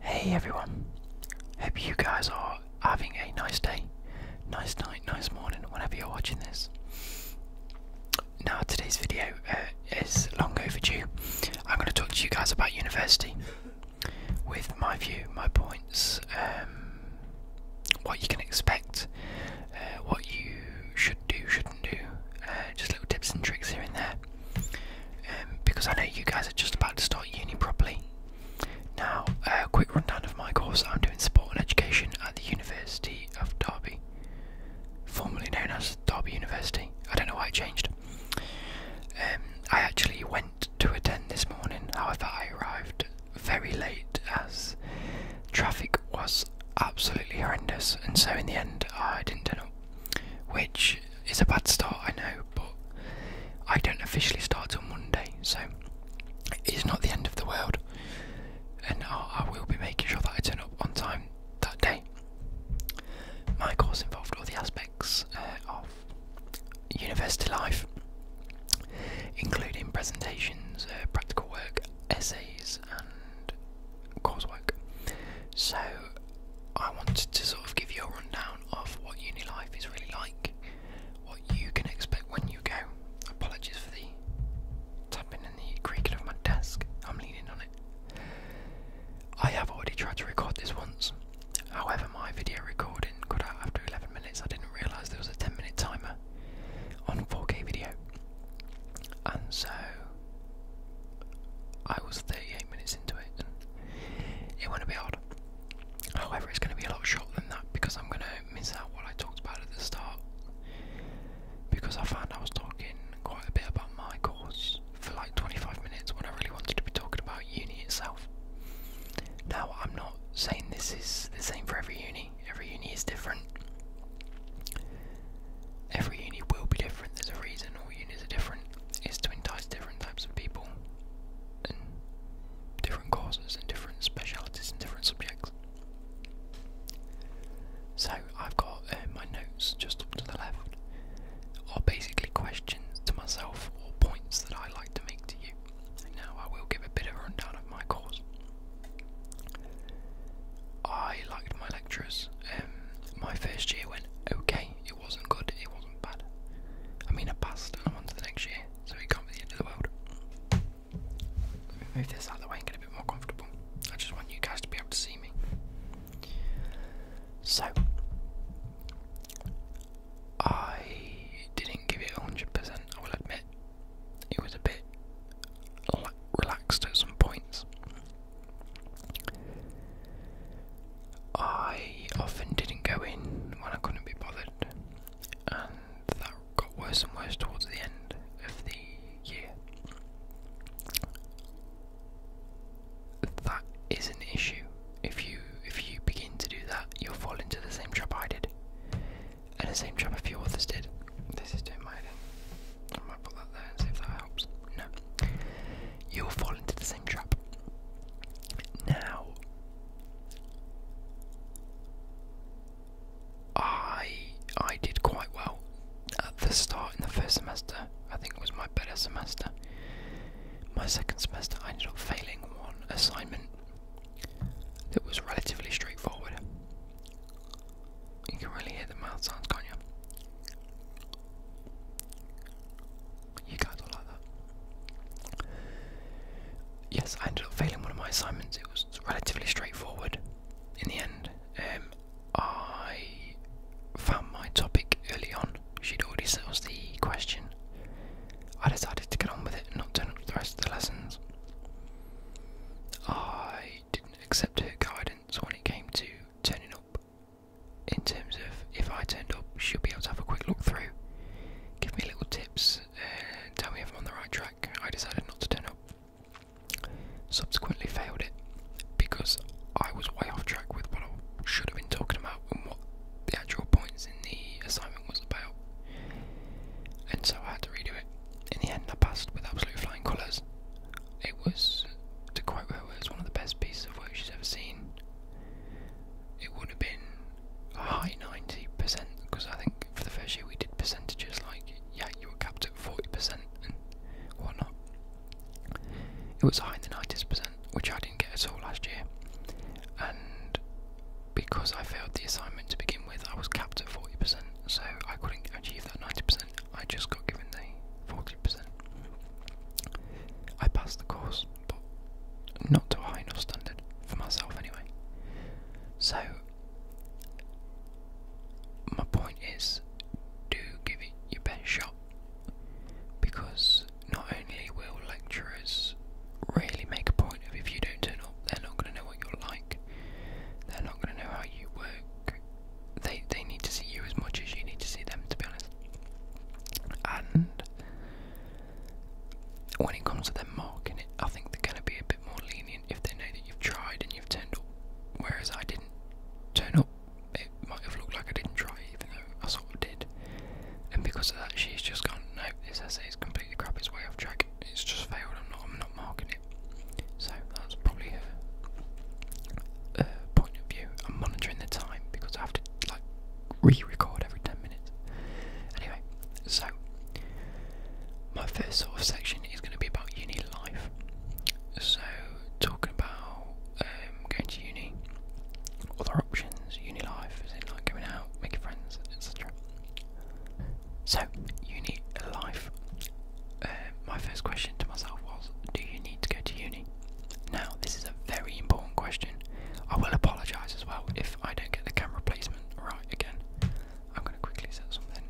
Hey everyone, hope you guys are having a nice day, nice night, nice morning, whenever you're watching this. Now, today's video uh, is long overdue. I'm going to talk to you guys about university with my view, my points, um, what you can expect, uh, what you should do, shouldn't do, uh, just little tips and tricks here and there. Um, because I know you guys are just about to start uni properly. Now, a quick rundown of my course I'm doing sport and education at the University of Derby, formerly known as Derby University. I don't know why it changed. Um, I actually went to attend this morning, however, I arrived very late as traffic was absolutely horrendous, and so in the end, I didn't turn up. Which it's a bad start, I know, but I don't officially start till Monday, so it's not the end of the world. And I, will be making sure that I turn up on time that day. My course involved all the aspects uh, of university life, including presentations, uh, practical work, essays, and coursework. So I wanted to sort of give you a rundown of what uni life is really like, what you can expect when you go. Apologies for the tapping and the creaking of my desk, I'm leaning on it. I have already tried to record this once, however, my video recording cut out after 11 minutes. I didn't realise there was a 10 minute timer on 4K video, and so I was 38 minutes into it, and it went a bit However, it's going to be a lot shorter than that because I'm going to miss out what I talked about at the start. Because I found I was talking quite a bit about my course for like 25 minutes when I really wanted to be talking about uni itself. Now, I'm not saying this is the same for every uni, every uni is different. Every uni will be different, there's a reason all unis are different is to entice different types of people and different causes and different specialities and different subjects. So I've got uh, my notes just up to the left are basically questions to myself or points that I like to make to you. now I will give a bit of a rundown of my course. I liked my lecturers. Um, my first year went okay. It wasn't good, it wasn't bad. I mean, I passed and I'm on to the next year, so it can't be the end of the world. move this out of the way and get a bit more comfortable. I just want you guys to be able to see me. So, I didn't give it 100%, I will admit. It was a bit relaxed at some points. I often didn't go in when I couldn't be bothered, and that got worse and worse towards the end of the year. That is an issue. If you if you begin to do that, you'll fall into the same trap I did, and the same trap a few others did. This is doing my I might put that there and see if that helps. No you'll fall into the same trap. Now, I I did quite well at the start in the first semester. I think was my better semester. My second semester, I ended up failing one assignment that was relatively straightforward. You can really hear the mouth sounds, can't you? You guys are like that. Yes, I ended up failing one of my assignments. It was relatively straightforward in the end. Um, I found my topic early on. She'd already settled the question. I decided to get on with it and not turn up the rest of the lessons. I didn't accept her guidance when it came to turning up in terms of if I turned up, she'll be able to have a quick look through, give me little tips, uh, tell me if I'm on the right track. I decided not to turn up. Subsequently, failed it because I was way off track with what I should have been talking about and what the actual points in the assignment was about. And so I had to redo it. In the end, I passed with absolute flying colours. It was, to quote her, it was one of the best pieces of work she's ever seen. It would have been a high 90%, because I think for the first year we did percentages like, yeah, you were capped at 40% and whatnot. It was higher than ninety percent, which I didn't get at all last year. And because I failed the assignment to begin with, I was capped at 40%, so I couldn't achieve that 90%. I just got given the 40%. I passed the course, but not to a high enough standard, for myself anyway. So, my point is do give it your best shot because not only will lecturers really make a point of if you don't turn up, they're not going to know what you're like, they're not going to know how you work, they they need to see you as much as you need to see them, to be honest. And when it comes to them marking it, I think they're going to be a bit more lenient if they know that you've tried and you've turned up. Whereas I didn't turn up, it might have looked like I didn't try, even though I sort of did. And because of that, she's just gone. No, this essay is completely crap. It's way off track. It's just failed. I'm not. I'm not marking it. So that's probably her. Uh, point of view, I'm monitoring the time because I have to like re-record every 10 minutes. Anyway, so my first sort of section is going to be about uni life. So talking about um, going to uni, other options, uni life, as in like going out, making friends, etc. So uni life. Uh, my first question to myself was, do you need to go to uni? Now, this is a very important question. I will apologise as well if I don't get the camera placement right again. I'm going to quickly set something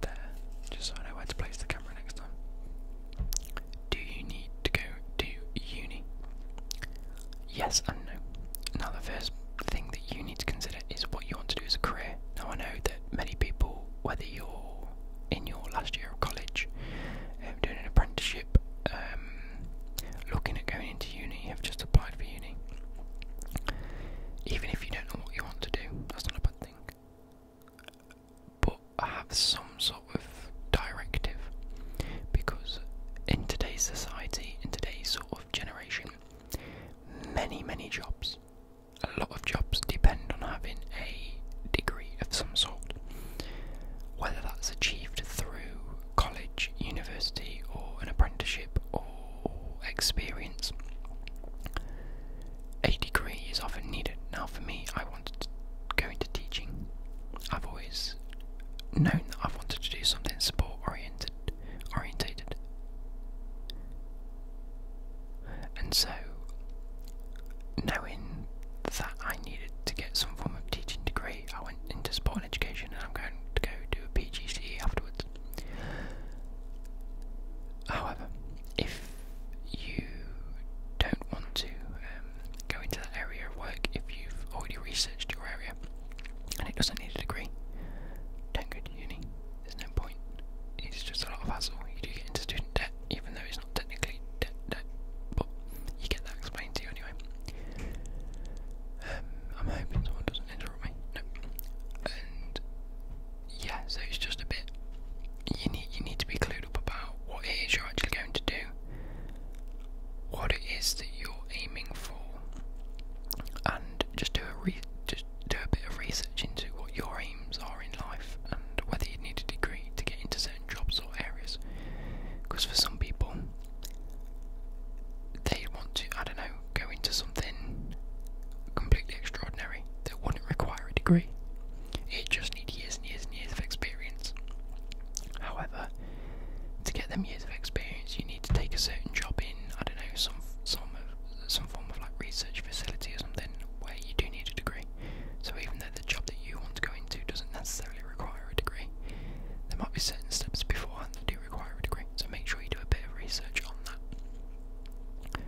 there, just so I know where to place the camera next time. Do you need to go to uni? Yes and no. Now, the first thing that you need to consider is what you want to do as a career. Now, I know that many people, whether you're in your last year of college, um, doing an apprenticeship, um, looking at going into uni, you have just applied for uni. Even if you don't know what you want to do, that's not a bad thing. But have some sort of directive because in today's society, in today's sort of generation, many, many jobs a lot of jobs depend on having a degree of some sort, whether that's achieved through college, university, or an apprenticeship or experience. A degree is often needed. Now, for me, I wanted to go into teaching. I've always known that I've wanted to do something sport oriented, orientated. And so, knowing that I needed to get some form of teaching degree, I went into sport and education and I'm going to go do a PGCE afterwards. However, if you don't want to um, go into that area of work, if you've already researched your area and it doesn't need a degree, don't go to uni there's no point. It's just a lot of hassle. You do get into student debt, even though it's not technically debt, debt but you get that explained to you anyway. Um, I'm hoping someone doesn't interrupt me. No. And yeah, so it's just a bit. You need you need to be clued up about what it is you're actually going to do, what it is that you're aiming for, and just do a re do a bit of research into what your aims are in life and whether you need a degree to get into certain jobs or areas. Because for some people, they want to, I don't know, go into something completely extraordinary that wouldn't require a degree. It just needs years and years and years of experience. However, to get them years of experience, you need to take a certain job in, I don't know, some some some form of like research facility or something where you do need a degree. So even though the job that you want to go into doesn't necessarily require a degree, there might be certain steps beforehand that do require a degree. So make sure you do a bit of research on that.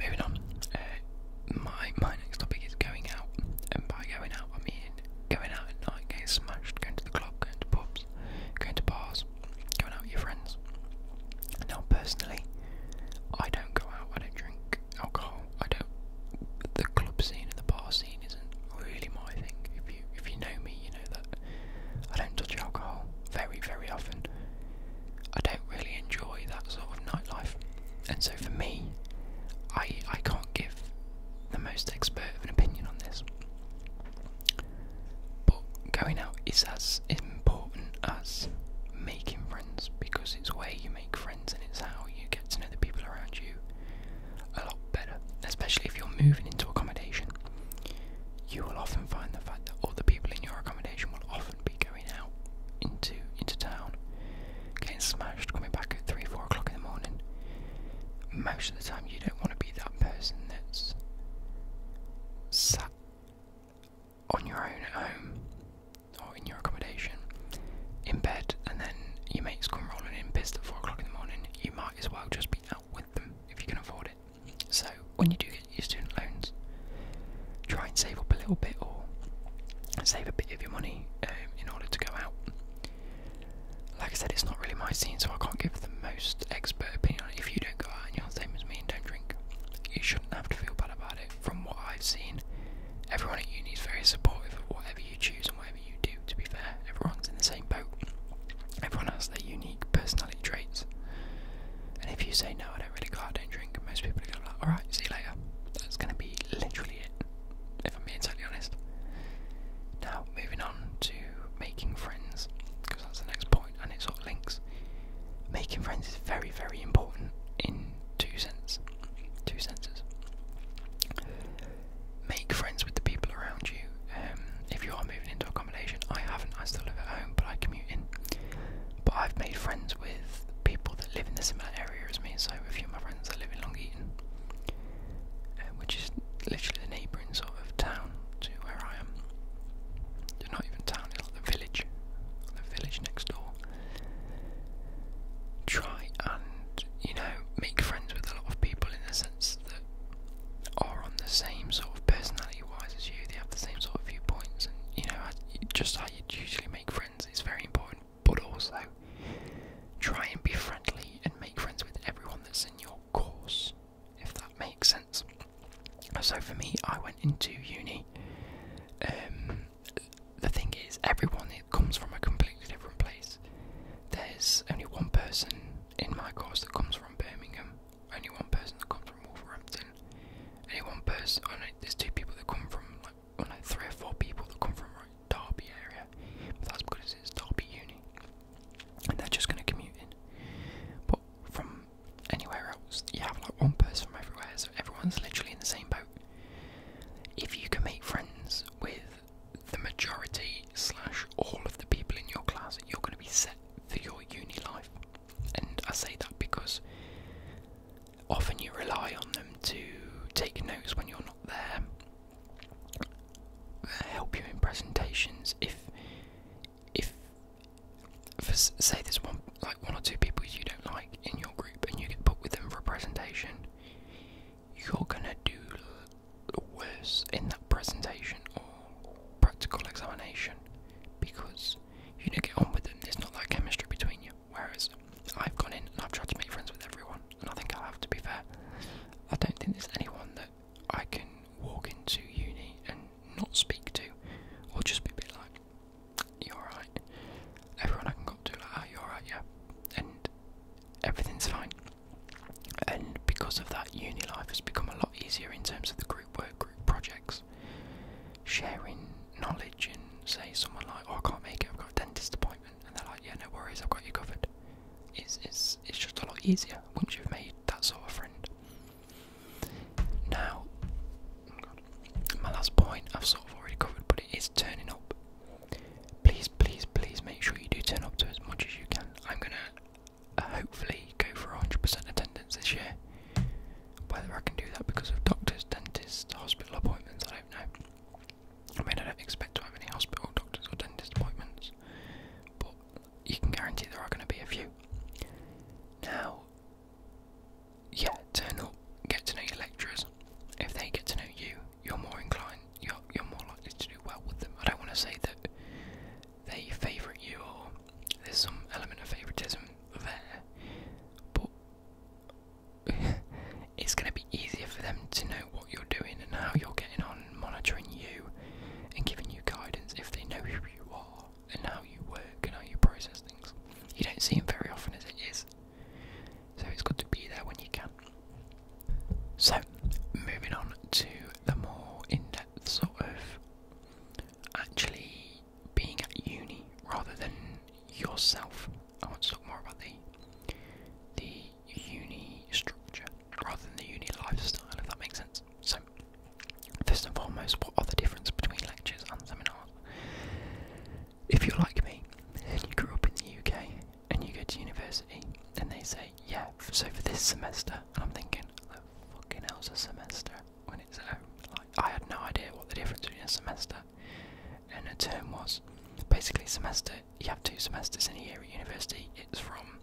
Moving on, uh, my my next topic is going out, and by going out I mean going out at night, getting smashed, going to the club, going to pubs, going to bars, going out with your friends. Now, personally, I don't go out, I don't drink alcohol, I don't. The club scene and the bar scene isn't really my thing. If you if you know me, you know that I don't touch alcohol very very often. I don't really enjoy that sort of nightlife, and so for me, I I can't give the most expert of an opinion on this. But going out is as important as making friends because it's where you make friends and it's how you get to know the people around you a lot better. Especially if you're moving into accommodation, you will often find the fact that all the people in your accommodation will often be going out into into town, getting smashed, coming back at three, four o'clock in the morning. Most of the time, you don't want to be that person that's sat on your own at home or in your accommodation, in bed, and then your mates come rolling in pissed at 4 o'clock in the morning, you might as well just be out with them if you can afford it. So, when you do get your student loans, try and save up a little bit or save a bit of your money um, in order to go out. Like I said, it's not really my scene, so I can't give the most expert opinion If you don't go out and you're the same as me and don't drink, you should should have to feel bad about it. From what I've seen, everyone at uni is very supportive of whatever you choose and whatever you do. To be fair, everyone's in the same boat. Everyone has their unique personality traits. And if you say no, I don't really care. I don't drink, most people are gonna like, alright, see you later. That's gonna be literally it, if I'm being totally honest. Now, moving on to making friends that's the next point, and it sort of links. Making friends is very, very important in two senses. two senses. Make friends with the people around you. Um, if you are moving into accommodation, I haven't. I still live at home, but I commute in. But I've made friends with people that live in the similar area as me. So a few of my friends are living in Long Eaton, uh, which is literally the neighbouring sort of town to where I am not even town, it's like the village. The village next door. Try and, you know, make friends with a lot of people in the sense that are on the same sort of personality wise as you, they have the same sort of viewpoints, and you know, just how you usually make friends is very important, but also try and be friendly and make friends with everyone that's in your course, if that makes sense. So for me, I went into uni. Um, the thing is, everyone it comes from a completely different place. There's only one person in my course that comes from Birmingham. Only one person that comes from Wolverhampton. Only one person. I there's two people that come from like, well, three or four people that come from like Derby area, but that's because it's Derby Uni, and they're just going to commute in. But from anywhere else. You have like one person from everywhere, so everyone's literally in the same boat. If you can make friends with the majority slash all of the people in your class, you're going to be set for your uni life. And I say that because often you rely on them to take notes when you're not there, uh, help you in presentations if if say there's one like one or two people you don't like in your group and you get put with them for a presentation, you're gonna do worse in that presentation or practical examination because you don't get on with them. There's not that chemistry between you. Whereas I've gone in and I've tried to make friends with everyone, and I think I have to be fair. I don't think there's anyone that I can walk into uni and not speak to, or just be a bit like, "You alright?" Everyone I can go to, like, "Are oh, you alright?" Yeah, and everything's fine. And because of that, uni life has become a lot easier in terms of the group work, group projects, sharing knowledge, and say someone like, "Oh, I can't make it. I've got a dentist appointment," and they're like, "Yeah, no worries. I've got you covered." It's it's it's just a lot easier once you've made that sort of friend. Now, my last point I've sort of already covered, but it is turning up. Please, please, please make sure you do turn up to as much as you can. I'm gonna uh, hopefully go for 100% attendance this year. Whether I can do that because of doctors, dentists, hospital appointments, I don't know. I mean, I don't expect to have any hospital, doctors, or dentist appointments, but you can guarantee there are going to be a few. Now, yeah, turn up, get to know your lecturers. If they get to know you, you're more inclined, you're, you're more likely to do well with them. I don't want to say that they favour you or there's some element of favouritism there, but it's going to be easier for them to know what you're doing and how you're getting on, monitoring you and giving you guidance if they know who you are and how you work and how you process things. You don't see them very often as it is, so it's good to be there when you can. So, moving on to the more in depth sort of actually being at uni rather than yourself. I want to talk more about the the uni structure rather than the uni lifestyle, if that makes sense. So, first and foremost, what are the difference between lectures and seminars? If you're like me and you grew up in the UK and you go to university and they say, yeah, so for this semester, I'm thinking, the fucking hell's a semester when it's at Like, I had no idea what the difference between a semester and a term was. Basically, semester, you have two semesters in a year at university. It's from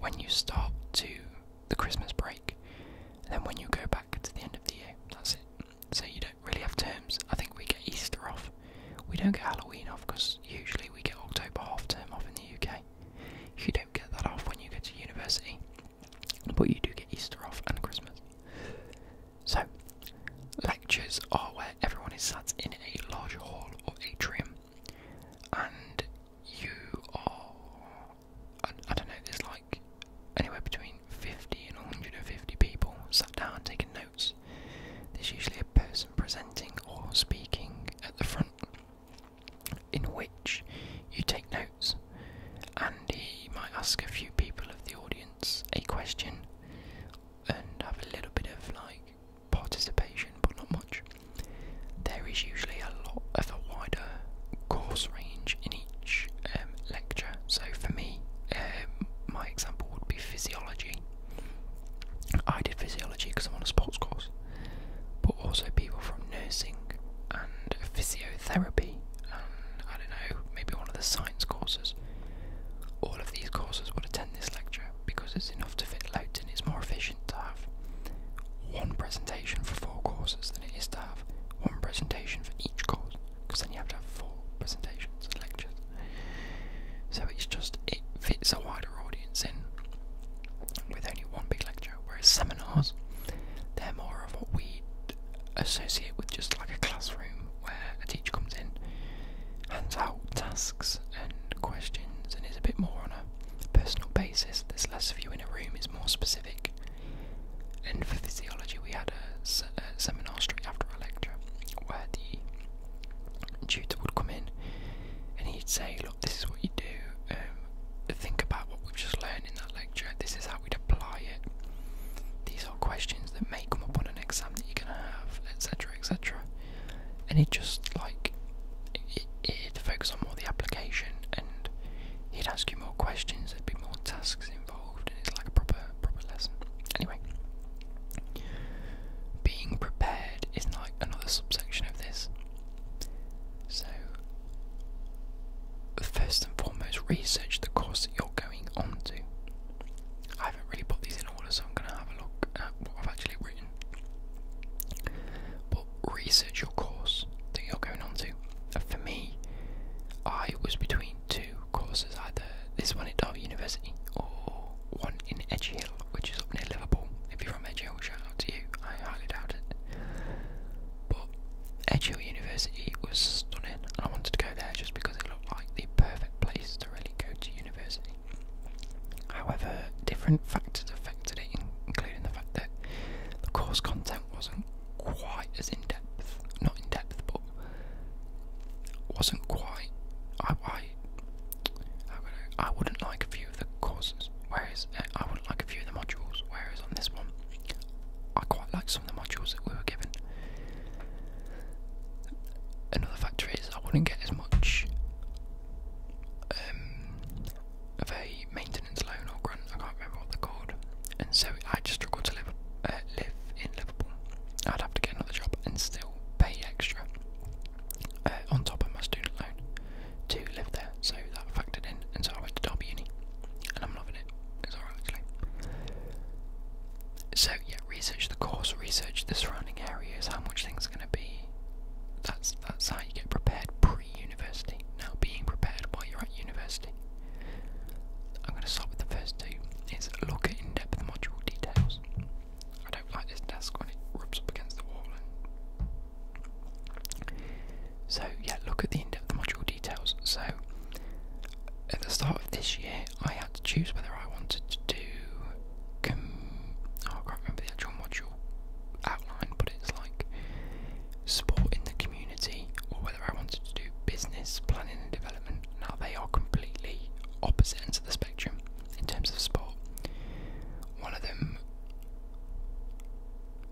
when you start to the Christmas break, and then when you go back to the end of the year, that's it. So you don't really have terms. I think we get Easter off. We don't get Halloween off because usually we get October half term off in the UK. You don't get that off when you go to university, but you do get Easter off and Christmas. So, lectures are where everyone is sat in a large hall or atrium, and you are I, don't know, there's like anywhere between 50 and 150 people sat down taking notes. There's usually a person presenting or speaking at the front, in which you take notes, and he might ask a few people of the audience a question and have a little bit of like participation, but not much. There is usually a lot of a wider course range in each um, lecture. So for me, um, my example would be physiology. I did physiology because I'm on a sports course, but also people from nursing and physiotherapy, and I don't know, maybe one of the science courses. All of these courses would attend this lecture because it's enough to fit loads and it's more efficient to have one presentation for four courses than it is to have one presentation for each course, because then you have to have four presentations and lectures. So it's just, it fits a wider audience in with only one big lecture, whereas seminars, they're more of what we associate with just like a classroom where a teacher comes in, hands out tasks and questions, and is a bit more on a personal basis. There's less of you in a room, it's more specific. And for physiology, we had a, seminar straight after a lecture where the tutor would come in and he'd say, Look, this is what you do, um, think about what we've just learned in that lecture, this is how we'd apply it. These are questions that may come up on an exam that you're going to have, etc. etc. And it just like to focus on more the application, and he'd ask you more questions. There'd be more tasks involved, and it's like a proper proper lesson. Anyway, being prepared is like another subsection of this. So, first and foremost, research the course that you're going on to. I haven't really put these in order, so I'm going to have a look at what I've actually written research your course that you're going on to. And for me, I was between two courses, either this one at Derby University or one in Edgehill, which is up near Liverpool. If you're from Edgehill, shout out to you. I highly doubt it. But Edgehill University was stunning, I wanted to go there just because it looked like the perfect place to really go to university. However, different factors affect today, including the fact that the course content wasn't quite as in depth, not in depth, but wasn't quite. I, I, would, not like a few of the courses, whereas uh, I wouldn't like a few of the modules, whereas on this one, I quite like some of the modules that we were given. Another factor is I wouldn't get as much um, of a maintenance loan or grant, I can't remember what they're called, and so I just struggle to live, uh, live in Liverpool. I'd have to get another job and still pay extra uh, on top of my student loan to live there, so that factored in, and so I went to Derby Uni, and I'm loving it. So yeah, research the course, research the surrounding areas, how much things are going to be. That's that's how you get prepared university. Now, being prepared while you're at university. I'm going to start with the first two. It's look at in-depth module details. I don't like this desk when it rubs up against the wall. So yeah, look at the in-depth module details. So at the start of this year, I had to choose whether I wanted to do. Oh, I can't remember the actual module official outline, but it's like support in the community or whether I wanted to do business, planning and development. Now they are completely opposite ends of the spectrum in terms of sport. One of them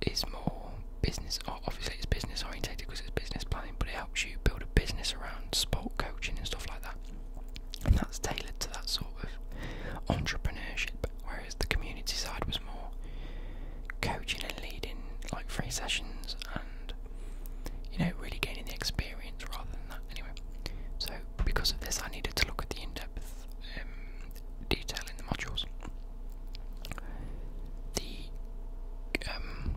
is more business, obviously it's business orientated because it's business planning, but it helps you build a business around sport coaching and stuff like that. And that's tailored to that sort of entrepreneurship leadership, whereas the community side was more coaching and leading, like free sessions and you know, really gaining the experience rather than that. Anyway, so because of this, I needed to look at the in depth um, detail in the modules. The um,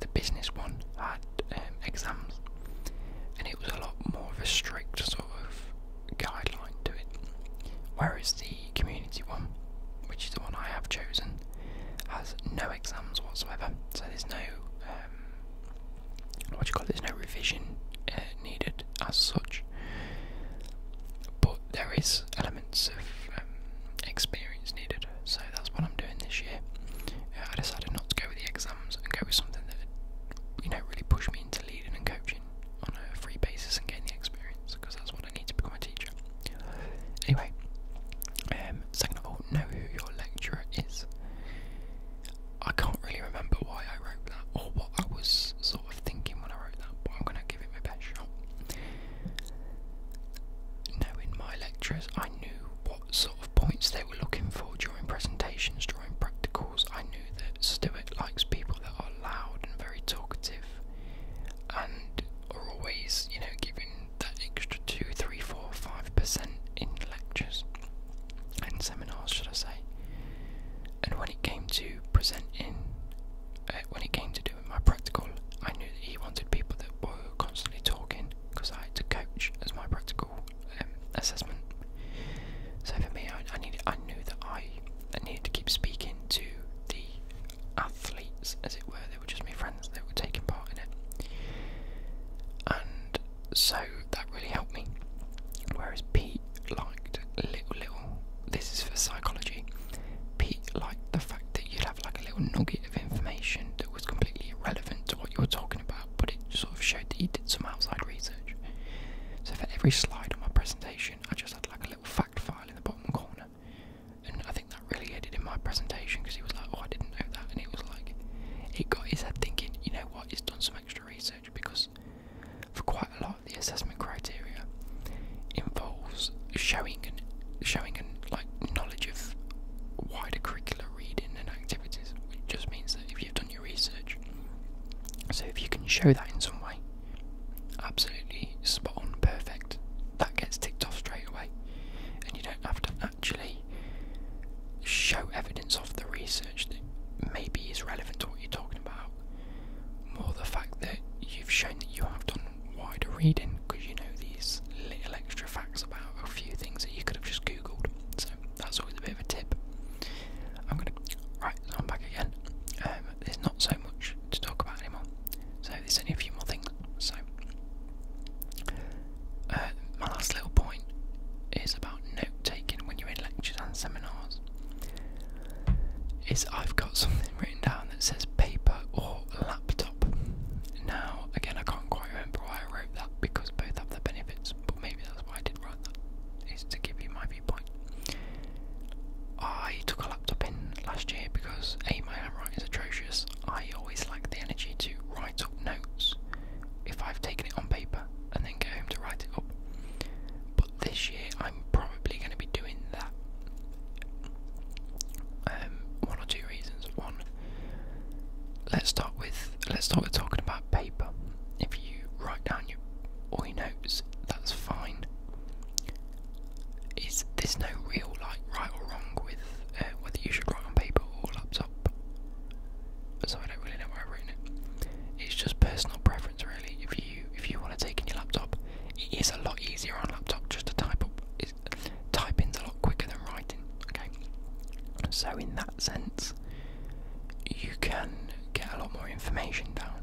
the business one had um, exams, and it was a lot more of a strict sort of guideline to it. Whereas the community one, which is the one I have chosen, has no exams whatsoever, so there's no um, what do you call it? There's no revision uh, needed as such, but there is elements of um, experience needed. So that's what I'm doing this year. Uh, I decided not to go with the exams and go with something that you know really pushed me into leading and coaching on a free basis and getting the experience because that's what I need to become a teacher. Anyway, um, second of all, know who your lecturer is. I can't really remember why I wrote that or what I was sort of thinking when I wrote that, but I'm going to give him a best shot. Knowing my lecturers, I knew what sort of points they were looking for during presentations, during practicals I knew that Stuart likes people that are loud and very talkative and are always, you know, giving that extra 2, 3, 4, 5% in lectures and seminars, should I say. And when it came to presenting, uh, when it came to doing my practical, I knew that he wanted people that were constantly talking because I had to coach as my practical um, assessment. So for me, I needed, I knew that I I needed to keep speaking to the athletes, as it were. They were just my friends They were taking part in it. And so that really helped me. Whereas Pete liked little, little, this is for psychology. Pete liked the fact that you'd have like a little nugget of information that was completely irrelevant to what you were talking about, but it sort of showed that you did some outside research. So for every slide on my presentation, I just had like a little fact file in the bottom corner, and I think that really added in my presentation because he was like, "Oh, I didn't know that," and it was like, he got his head thinking. You know what? He's done some extra research because for quite a lot of the assessment criteria involves showing and showing and like knowledge of wider curricular reading and activities, which just means that if you've done your research. So if you can show that in some way, Absolutely spot on, perfect. That gets ticked off straight away, and you don't have to actually show evidence of the research that maybe is relevant to what you're talking about. More the fact that you've shown that you have done wider reading because you know these little extra facts about a few things that you could have just googled. So that's always a bit of a tip. I'm gonna right, I'm back again. Um, there's not so much to talk about anymore, so there's only a few more things. So, uh, my last little point is about note taking when you're in lectures and seminars. Is I've got something written down that says paper or laptop. Now, again, I can't quite remember why I wrote that because both have the benefits, but maybe that's why I did write is to give you my viewpoint. I took a laptop in last year because A, my handwriting is atrocious. I always lack the energy to write up notes if I've taken it on paper and then get home to write it up. But this year I'm probably going to be doing that. Um, one or two reasons. One, let's start with let's start with talking about paper. If you write down your all he knows that's fine. Is there's no real like right or wrong with uh, whether you should write on paper or laptop. So I don't really know why I've written it. It's just personal preference really. If you if you want to take in your laptop, it is a lot easier on laptop just to type up. It's, typing's a lot quicker than writing. Okay. So in that sense, you can get a lot more information down.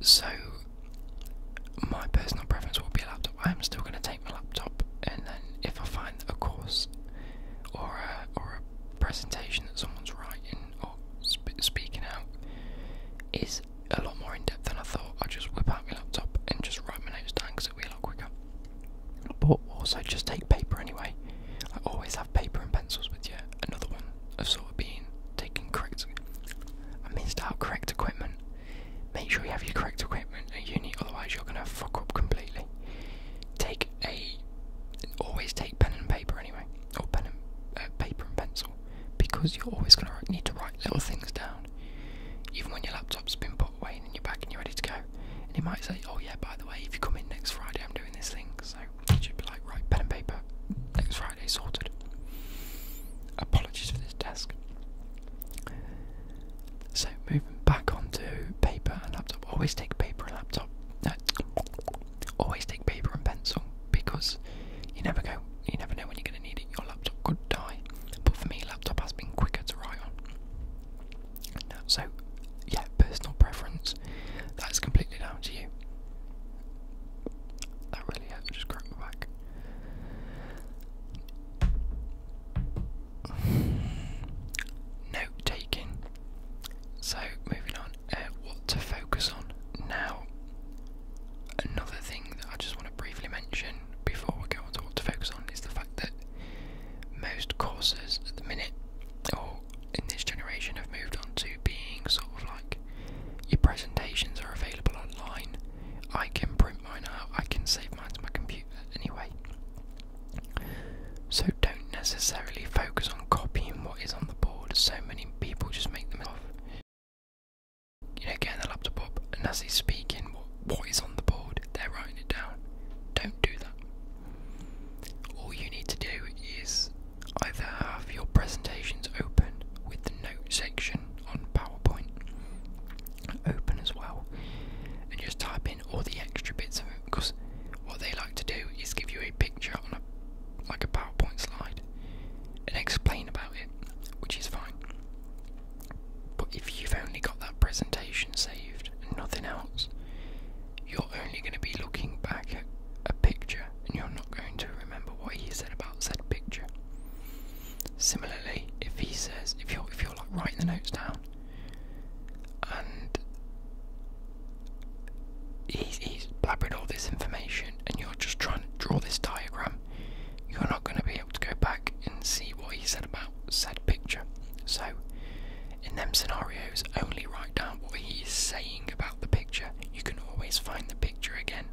So, my personal preference will be a laptop. I'm still going to take my laptop, and then if I find a course or a, or a presentation that someone's writing or speaking out is a lot more in depth than I thought, I'll just whip out my laptop and just write my notes down because it'll be a lot quicker. But also, just take paper anyway. I always have paper and pencils, with you. another one of sort of being taking correct. I missed out correct equipment. Make sure you have your correct equipment at uni, otherwise you're gonna fuck up completely. Take a, always take pen and paper anyway, or pen and uh, paper and pencil, because you're always gonna need to write little things down. Even when your laptop's been put away and you're back and you're ready to go, and you might say, "Oh yeah, by the way, if you come in next Friday, I'm doing this thing." So should be like, right, pen and paper, next Friday, sorted. Apologies for this desk. So, moving back onto paper and laptop. Always take paper and laptop. always take paper and pencil because you never go, you never know when you're going to need it. Your laptop could die, but for me, laptop has been quicker to write on. So, yeah, personal preference. That's completely down to you. That really just crack my back. Note taking. So, moving on, uh, what to focus on now. Another thing that I just want to briefly mention before we go on to what to focus on is the fact that most courses at the minute, in this generation have moved on to being sort of like your presentations are available online. I can print mine out, I can save mine to my computer anyway. So don't necessarily focus on copying what is on the board. So many people just make them off. You know, getting the laptop and as he's speaking what what is on the board, they're writing it down. Don't do that. All you need to do is either have your presentations open with the note section on PowerPoint open as well, and just type in all the extra bits of it. Because what they like to do is give you a picture on a like a PowerPoint slide and explain about it, which is fine. But if you've only got that presentation saved and nothing else, you're only going to be looking back at a picture and you're not going to remember what he said about said picture. Similarly, if he says, if you're, if you're like writing the notes down and he's, blabbered all this information and you're just trying to draw this diagram, you're not going to be able to go back and see what he said about said picture. So, in them scenarios, only write down what he's saying about the picture. You can always find the picture again.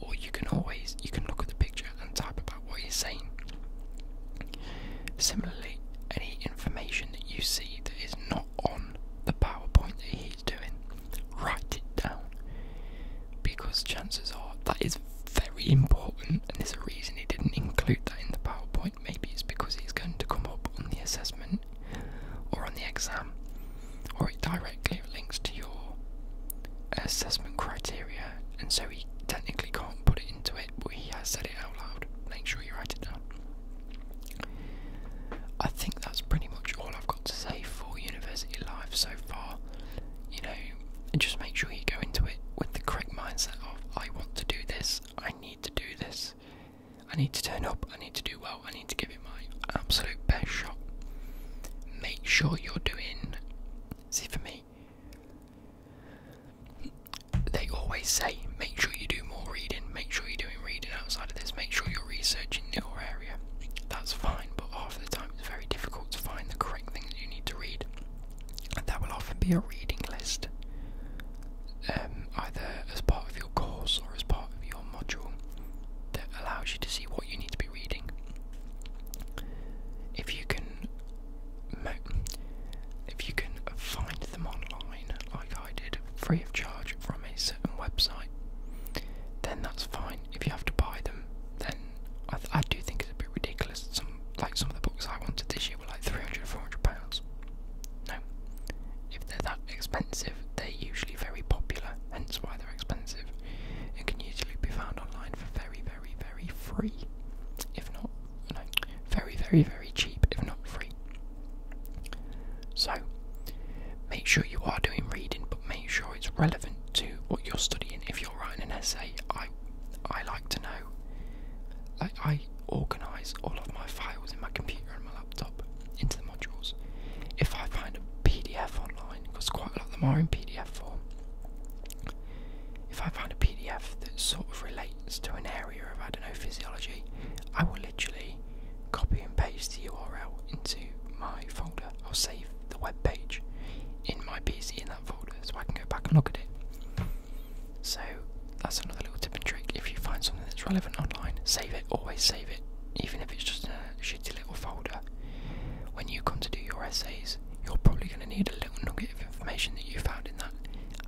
Or you can always you can look at the picture and type about what he's saying. Similarly, any information that you see that is not on the PowerPoint that he's doing, write it down. Because chances are that is very important and there's a reason he didn't include that in the PowerPoint maybe it's because he's going to come up on the assessment or on the exam, or it directly links to your assessment criteria, and so he technically can't put it into it, but he has said it out loud. Make sure you write it down. I think that's pretty much all I've got to say for university life so far. You know, just make sure you go into it with the correct mindset of I want to do this, I need to do this, I need to turn up, I need to do well, I need to give it my absolute best shot. Make sure you're doing. See, for me, they always say make sure you do more reading, make sure you're doing reading outside of this, make sure you're researching your area. That's fine, but half the time it's very difficult to find the correct things you need to read. And that will often be a reading list. Um, either as part of your course or as part of your module that allows you to see what you need to be reading. If you can, if you can find them online, like I did, free of charge from a certain website, then that's fine. If you have to buy them, then I, do think it's a bit ridiculous. Some like some of the books I wanted this like 300, pounds. No. If they're that expensive, they're usually very popular, hence why they're expensive, and can usually be found online for very, very, very free, if not, no, very, very, very cheap, if not free. So, make sure you are doing reading, but make sure it's relevant to what you're studying. If you're writing an essay, I, I like to know. I, organize all of my files in my computer and my laptop into the modules. If I find a PDF online, because quite a lot of them are in PDF form, if I find a PDF that sort of relates to an area of, I don't know, physiology, I will literally copy and paste the URL into my folder. I'll save the web page in my PC in that folder so I can go back and look at it. So that's another little tip and trick. If you find something that's relevant online, save it. Always save it, even if it's just a shitty little folder. When you come to do your essays, you're probably going to need a little nugget of information that you found in that,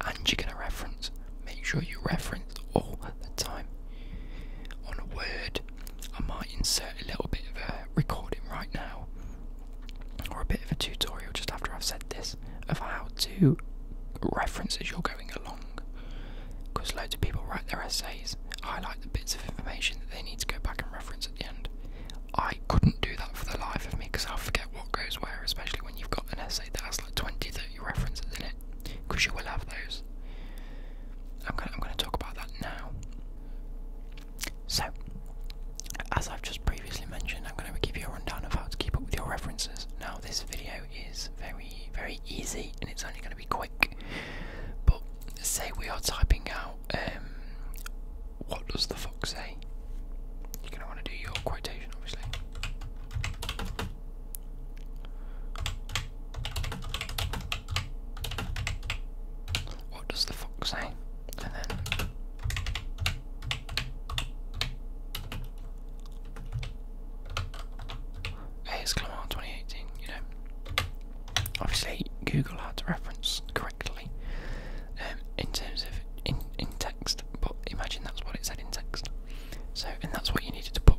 and you're going to reference. Make sure you reference all the time. On a word, I might insert a little bit of a recording right now, or a bit of a tutorial just after I've said this of how to reference as you're going along. Because loads of people write their essays, highlight the bits of information that they need to go back and reference at the end. I couldn't do that for the life of me because I'll forget what goes where, especially when you've got an essay that has like 20, 30 references in it, because you will have those. I'm gonna talk about that now. So, as I've just previously mentioned, I'm going to give you a rundown of how to keep up with your references. Now, this video video is very, very easy and it's only going to be quick. But say we are typing out, um, what does the fox say? You're going to want to do your quotation, obviously. What does the fox say? AS Clamart 2018, you know. Obviously, Google had to reference correctly um, in terms of in, in text, but imagine that's what it said in text. So, and that's what you needed to put.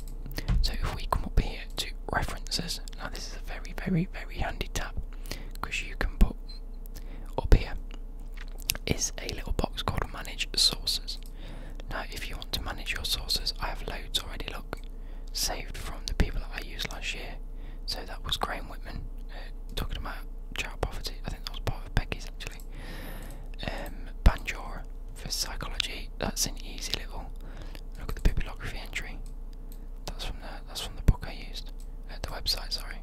So, if we come up here to references, now this is a very, very, very handy tab because you can put up here is a little box called manage sources. Now, if you want to manage your sources, I have loads already. Look, saved from the people that I used last year. So that was Graham Whitman uh, talking about child poverty. I think that was part of Becky's actually. Um, Banjora for psychology. That's an easy little look at the bibliography entry. That's from the that's from the book I used. Uh, the website, sorry.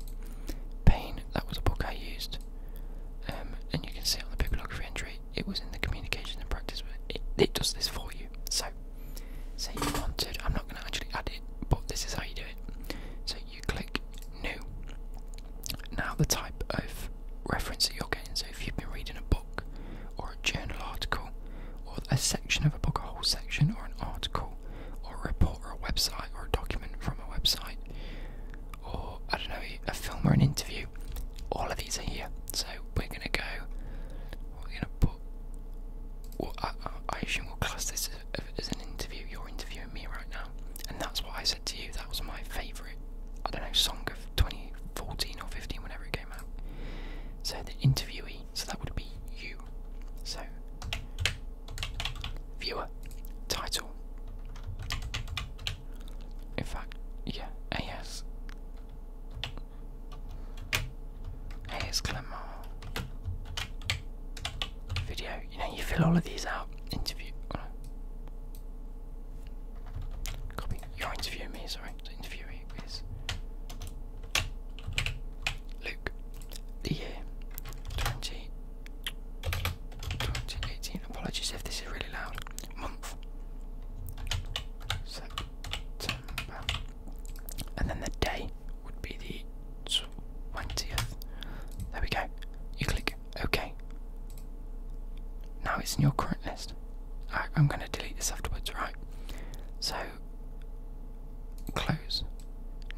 Pain. That was a book I used. Um, and you can see on the bibliography entry, it was in the communication and practice. It, it does this for you. So, say you wanted, I'm not going to actually add it, but this is how you do it. So you click new. Now the type of reference that you're getting. So if you've been reading a book, or a journal article, or a section of a book, a whole section, or an article, or a report, or a website, or a document from a website, or I don't know, a film or an interview. All of these are here, so we're gonna go. We're gonna put. I, assume we'll class this as, as an interview. You're interviewing me right now, and that's what I said to you. That was my favourite. I don't know song of 2014 or 15, whenever it came out. So the interviewee. So that would be you. So viewer title. In fact, yeah, Yes. AS Glamour. Video. You know, you fill all of these out. Interview. Uh, copy. You're me, sorry. So interviewee is Luke. The year 20 2018. Apologies if this is really loud. Month. September. And then the day would be the 20th. There we go. You click OK. Now it's in your current list. I, I'm going to delete this afterwards, right? So, close.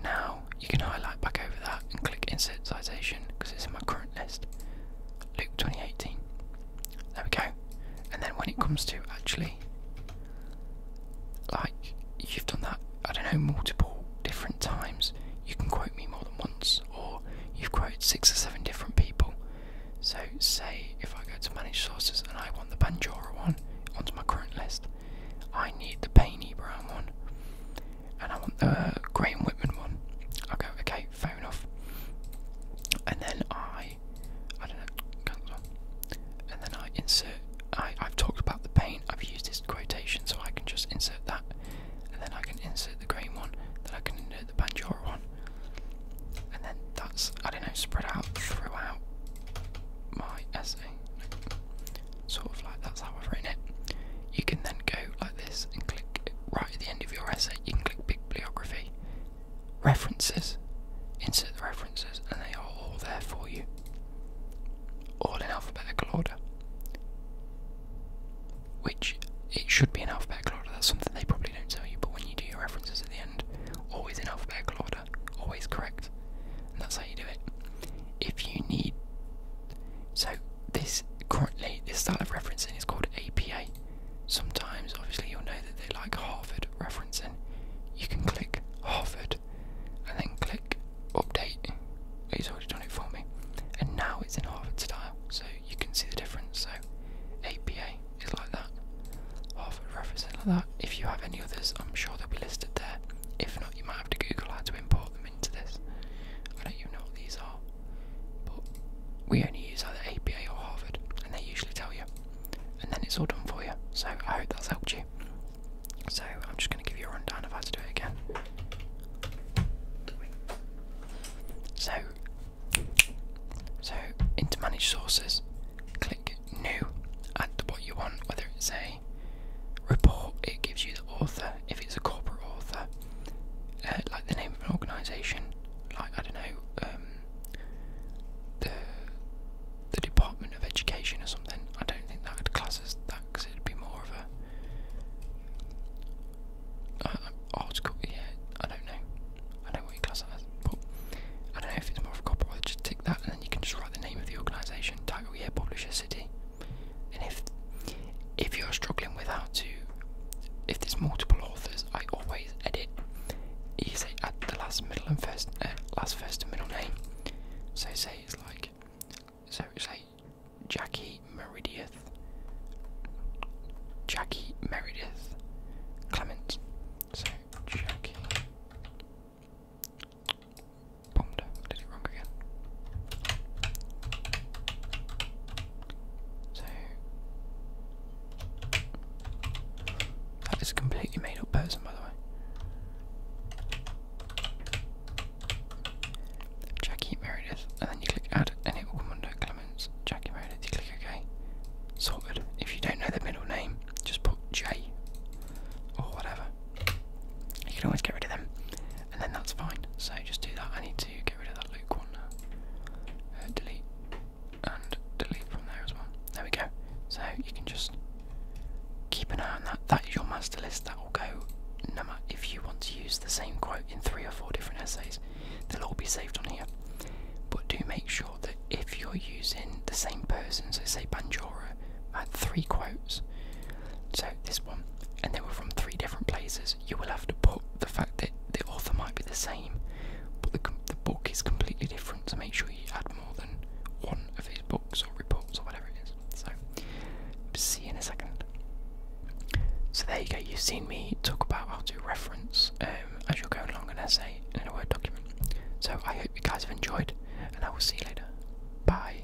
Now you can highlight back over that and click insert citation because it's in my current list. Luke 2018. There we go. And then when it comes to actually, like you've done that, I don't know, multiple different times, you can quote me more than once, or you've quoted six or seven different people. So, say if I go to manage sources and I want the Banjora one onto my current list, I need the Painy Brown one and I want the Graham Whitman one. I go, okay, fair enough. And then I, I don't know, cancel. And then I insert. I I've talked about the pain. I've used this quotation, so I can just insert that, and then I can insert the Graham one. Then I can insert the Banjora one, and then that's I don't know spread out throughout my essay sort of like that's how I've written it. You can then go like this and click right at the end of your essay, you can click bibliography, references, insert the references, and they are all there for you, all in alphabetical order. Which it should be in alphabetical order, that's something they probably don't tell you, but when you do your references at the end, always in alphabetical order, always correct, that's how you do it. If you need so this currently this style of referencing is called APA. Sometimes, obviously, you'll know that they like Harvard referencing. You can click Harvard and then click update. It's oh, already done it for me, and now it's in Harvard style, so you can see the difference. So APA is like that. Harvard referencing like that. If you have any others, I'm sure they'll be listed there. If not, you might have to Google how to import them into this. I don't even know what these are, but we only use either APA or Harvard, and they usually tell you. And then it's all done for you. So I hope that's helped you. So I'm just going to give you a rundown I how to do it again. So, so into manage sources, click new, add what you want, whether it's a report, it gives you the author, if it's a corporate author, uh, like the name of an organisation, like, I don't know, um, the, the Department of Education or something. I don't think that would class as that because it would be more of a. Uh, article, yeah, I don't know. I don't know what you class as, but I don't know if it's more of a corporate. Just tick that, and then you can just write the name of the organisation, title, year, publisher, city, and if if you're struggling with how to, if there's multiple authors, I always edit. You say at the last middle and first, uh, last first and middle name. So say it's like, so say Jackie Meredith, Jackie Meredith, Clement. So Jackie Bombed. Did it wrong again. So that is a completely made up person, by the way. Jackie Meredith, and then you click add, and it will come under Clements. Jackie Meredith, you click OK. Sorted. If you don't know the middle name, just put J or whatever. You can always get rid of them and then that's fine. So just do that. I need to get rid of that Luke one now. Uh, delete and delete from there as well. There we go. So you can just keep an eye on that. That is your master list. That will go no matter if you want to use the same quote in three or four different essays. They'll all be saved on here. But do make sure that if you're using the same person, so say Banjora, I had three quotes. So this one, and they were from three different places. You will have to put the fact that the author might be the same, but the, the book is completely different. So make sure you add more than one of his books or reports or whatever it is. So see you in a second. So there you go. You've seen me talk about how to reference um, as you're going along an essay in a Word document. So I hope you guys have enjoyed, and I will see you later. Bye.